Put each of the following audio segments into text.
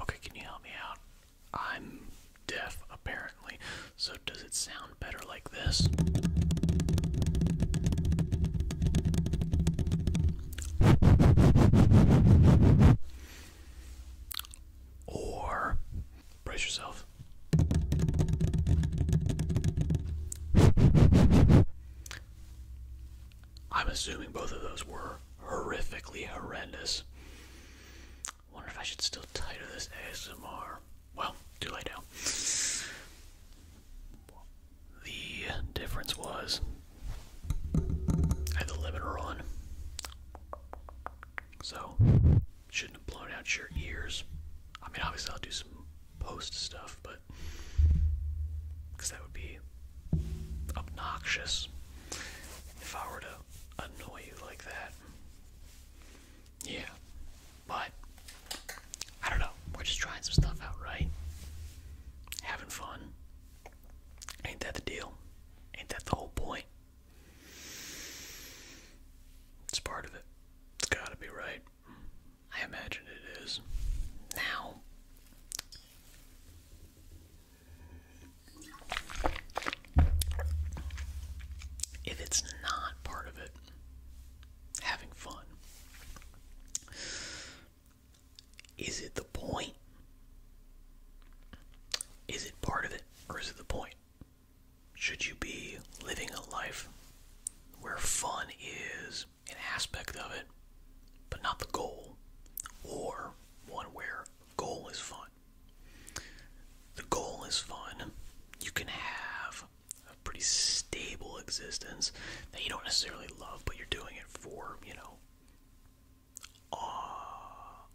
Okay, can you help me out? I'm deaf apparently, so does it sound better like this? Or brace yourself. I'm assuming both of those were horrifically horrendous. Wonder if I should still title this ASMR. Well, do late now. The difference was I had the limiter on, so shouldn't have blown out your ears. I mean, obviously I'll do some post stuff, but because that would be obnoxious if I were to annoy you like that. Yeah, but I don't know. We're just trying some stuff out, right? Having fun. Ain't that the deal? Ain't that the whole point? It's part of it. It's gotta be right. I imagine it is. Now, if it's not part of it, having fun. Is it the point? Is it part of it or is it the point? Should you be living a life where fun is an aspect of it, but not the goal, or one where goal is fun. The goal is fun. You can have a pretty stable existence that you don't necessarily love, but you're doing it for, you know,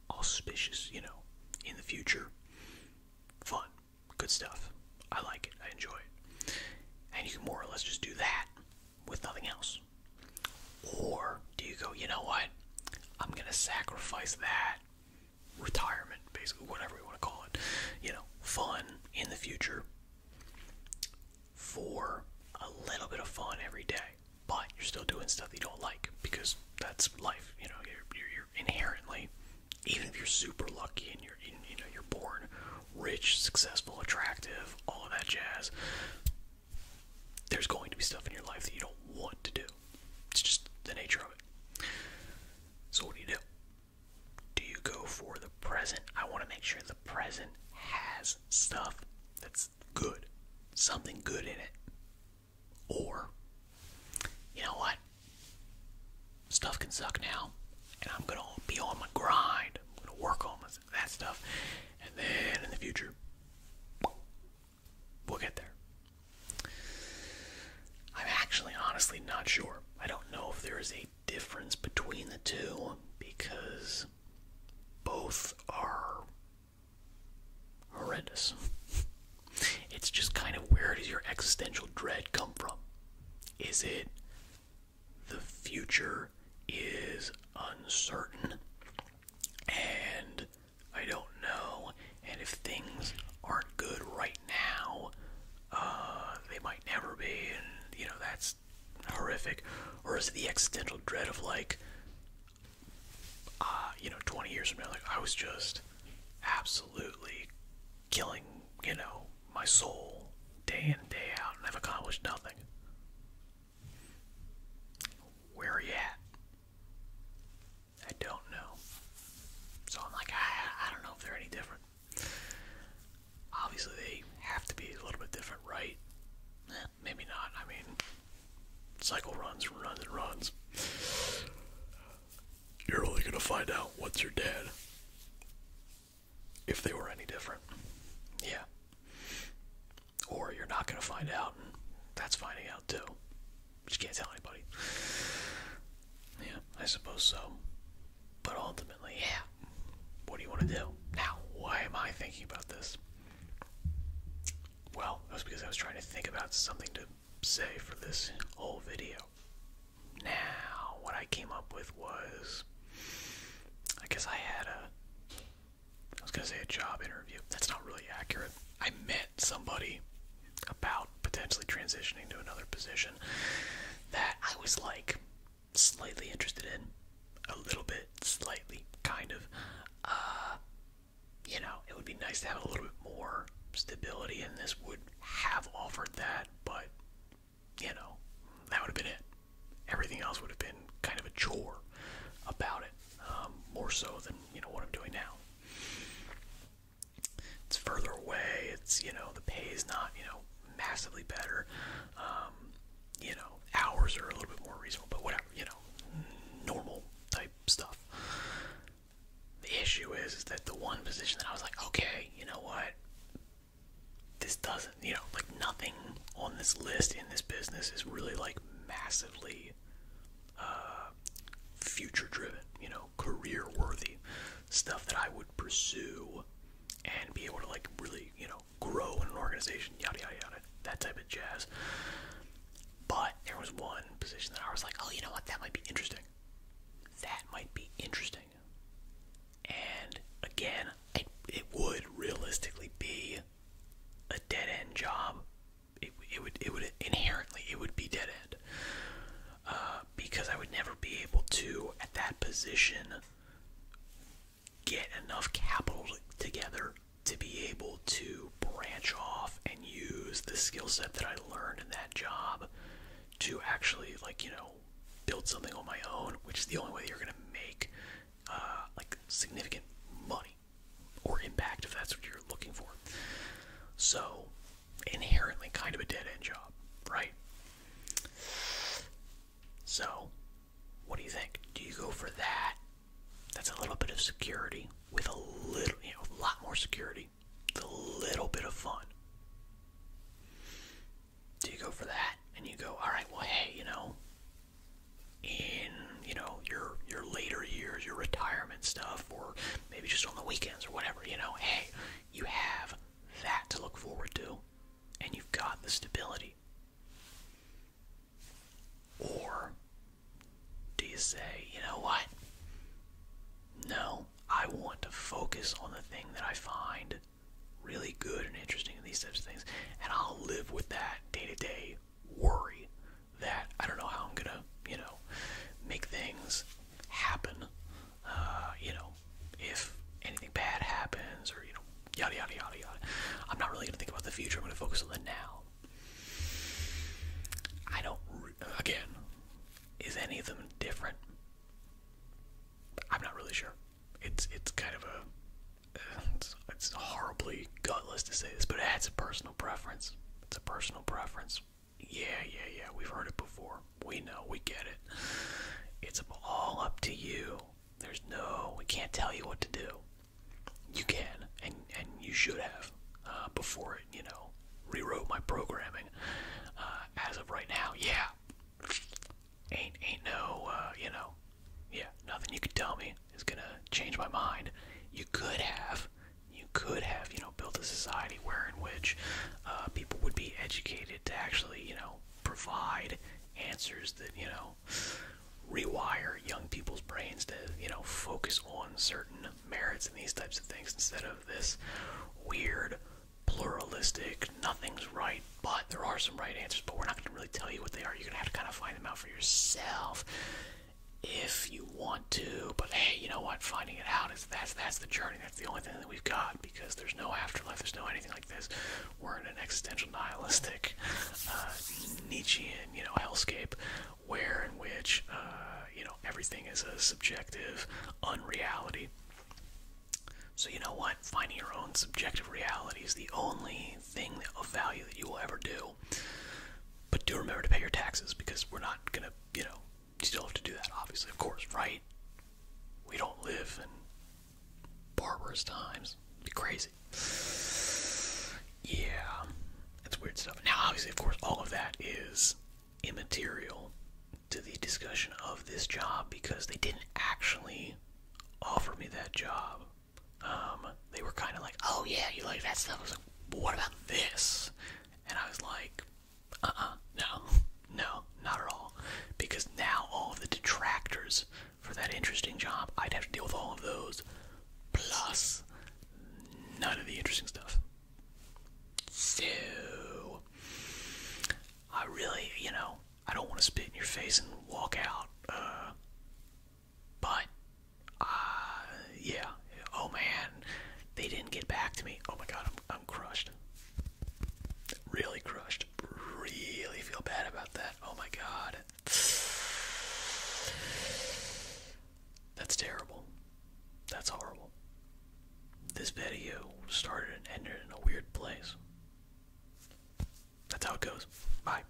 auspicious, you know, in the future. Fun. Good stuff. I like it. I enjoy it. And you can more or less just do that with nothing else. Or do you go, you know what? I'm going to sacrifice that retirement, basically, whatever we want to call it, you know, fun in the future for a little bit of fun every day. But you're still doing stuff you don't like because that's life. You know, you're inherently, even if you're super lucky and you're, you know, you're born rich, successful, attractive, all of that jazz, there's going to be stuff in your life that you don't want to do. It's just the nature of it. So, what do you do? Do you go for the present? I want to make sure the present has stuff that's good, something good in it. Or, you know what? Stuff can suck now, and I'm going to be on my grind. I'm going to work on that stuff. And then in the future, We'll get there. I'm actually honestly not sure. I don't know if there is a difference between the two because both are horrendous. It's just kind of where does your existential dread come from? Is it the future is uncertain and I don't know. And if things aren't good right now, uh, they might never be, and you know, that's horrific. Or is it the existential dread of like, uh, you know, 20 years from now, like I was just absolutely killing, you know, my soul day in, day out, and I've accomplished nothing. Where are you at? I don't know. So I'm like, I, don't know if they're any different. Obviously, they have to be a little bit different, right? Eh, maybe not. I mean, cycle runs, runs, and runs. You're only going to find out once you're dead if they were any different. Yeah. Or you're not going to find out, that's finding out too. you can't tell anybody. Yeah, I suppose so. But ultimately, yeah. What do you want to do? Now, why am I thinking about this? Well, it was because I was trying to think about something to say for this whole video. Now, what I came up with was I guess I had a I was gonna say a job interview. That's not really accurate. I met somebody about potentially transitioning to another position that I was like slightly interested in. A little bit, slightly, kind of. Uh, you know, it would be nice to have a little bit more stability, and this would have offered that, but, you know, that would have been it. Everything else would have been kind of a chore about it. Um, more so than you know what I'm doing now. It's further away. It's you know the pay is not you know massively better. Um, you know hours are a little bit more reasonable, but whatever you know normal type stuff. The issue is, is that the one position that I was like, okay, you know what, this doesn't, you know, like nothing on this list in this business is really like massively uh, future driven, you know, career worthy stuff that I would pursue and be able to like really, you know, grow in an organization, yada yada yada, that type of jazz. But there was one position that I was like, oh, you know what, that might be interesting. That might be interesting. And again, it, it would realistically be a dead end job. It, would it would inherently it would be dead end uh, because I would never be able to at that position get enough capital together to be able to branch off and use the skill set that I learned in that job to actually like you know build something on my own, which is the only way you're gonna make uh, like significant money or impact if that's what you're looking for. So, inherently kind of a dead end job, right? So, what do you think? Do you go for that? That's a little bit of security with a little, you know, a lot more security, with a little bit of fun. Do you go for that? And you go, all right, well, hey, you know, in you know your your later years, your retirement stuff, or maybe just on the weekends or whatever. You know, hey, you have that to look forward to, and you've got the stability. Or do you say, you know what? No, I want to focus on the thing that I find really good and interesting in these types of things, and I'll live with that day to day worry that I don't know how I'm gonna, you know, make things happen. Uh, you know, if anything bad happens or you know, yada yada yada yada. I'm not really gonna think about the future. I'm gonna focus on the now. I don't. Again, is any of them different? I'm not really sure. It's it's kind of a it's, horribly gutless to say this, but that's a personal preference. It's a personal preference. Yeah, yeah, yeah. We've heard it before. We know. We get it. It's all up to you. There's no. We can't tell you what to do. You can, and and you should have uh, before it. You know, rewrote my programming. Uh, as of right now, yeah. Ain't ain't no. Uh, you know, yeah, nothing you could tell me is gonna change my mind. You could have, you could have, you know, built a society where in which uh, people would be educated to actually, you know, provide answers that, you know, rewire young people's brains to, you know, focus on certain merits and these types of things instead of this weird, pluralistic, nothing's right, but there are some right answers, but we're not going to really tell you what they are. You're going to have to kind of find them out for yourself if you want to. But hey, you know what? Finding it out is that's that's the journey. That's the only thing that we've got because there's no afterlife. There's no anything like this. We're in an existential nihilistic uh, Nietzschean, you know, hellscape where in which uh, you know everything is a subjective unreality. So you know what? Finding your own subjective reality is the only thing of value that you will ever do. But do remember to pay your taxes because we're not gonna, you know, you still have to do that, obviously, of course, right? We don't live in barbarous times. be crazy. Yeah, that's weird stuff. Now, obviously, of course, all of that is immaterial to the discussion of this job because they didn't actually offer me that job. Um, they were kind of like, oh yeah, you like that stuff. I was like, what about this? And I was like, uh-uh, no, no, not at all. Because now all the detractors for that interesting job, I'd have to deal with all of those, plus none of the interesting stuff. So, I really, you know, I don't want to spit in your face and walk out. Uh, but, uh, yeah. Oh man, they didn't get back to me. Oh my god, I'm, I'm crushed. Really crushed. Really feel bad about that. Oh my god. That's terrible. That's horrible. This video started and ended in a weird place. That's how it goes. Bye.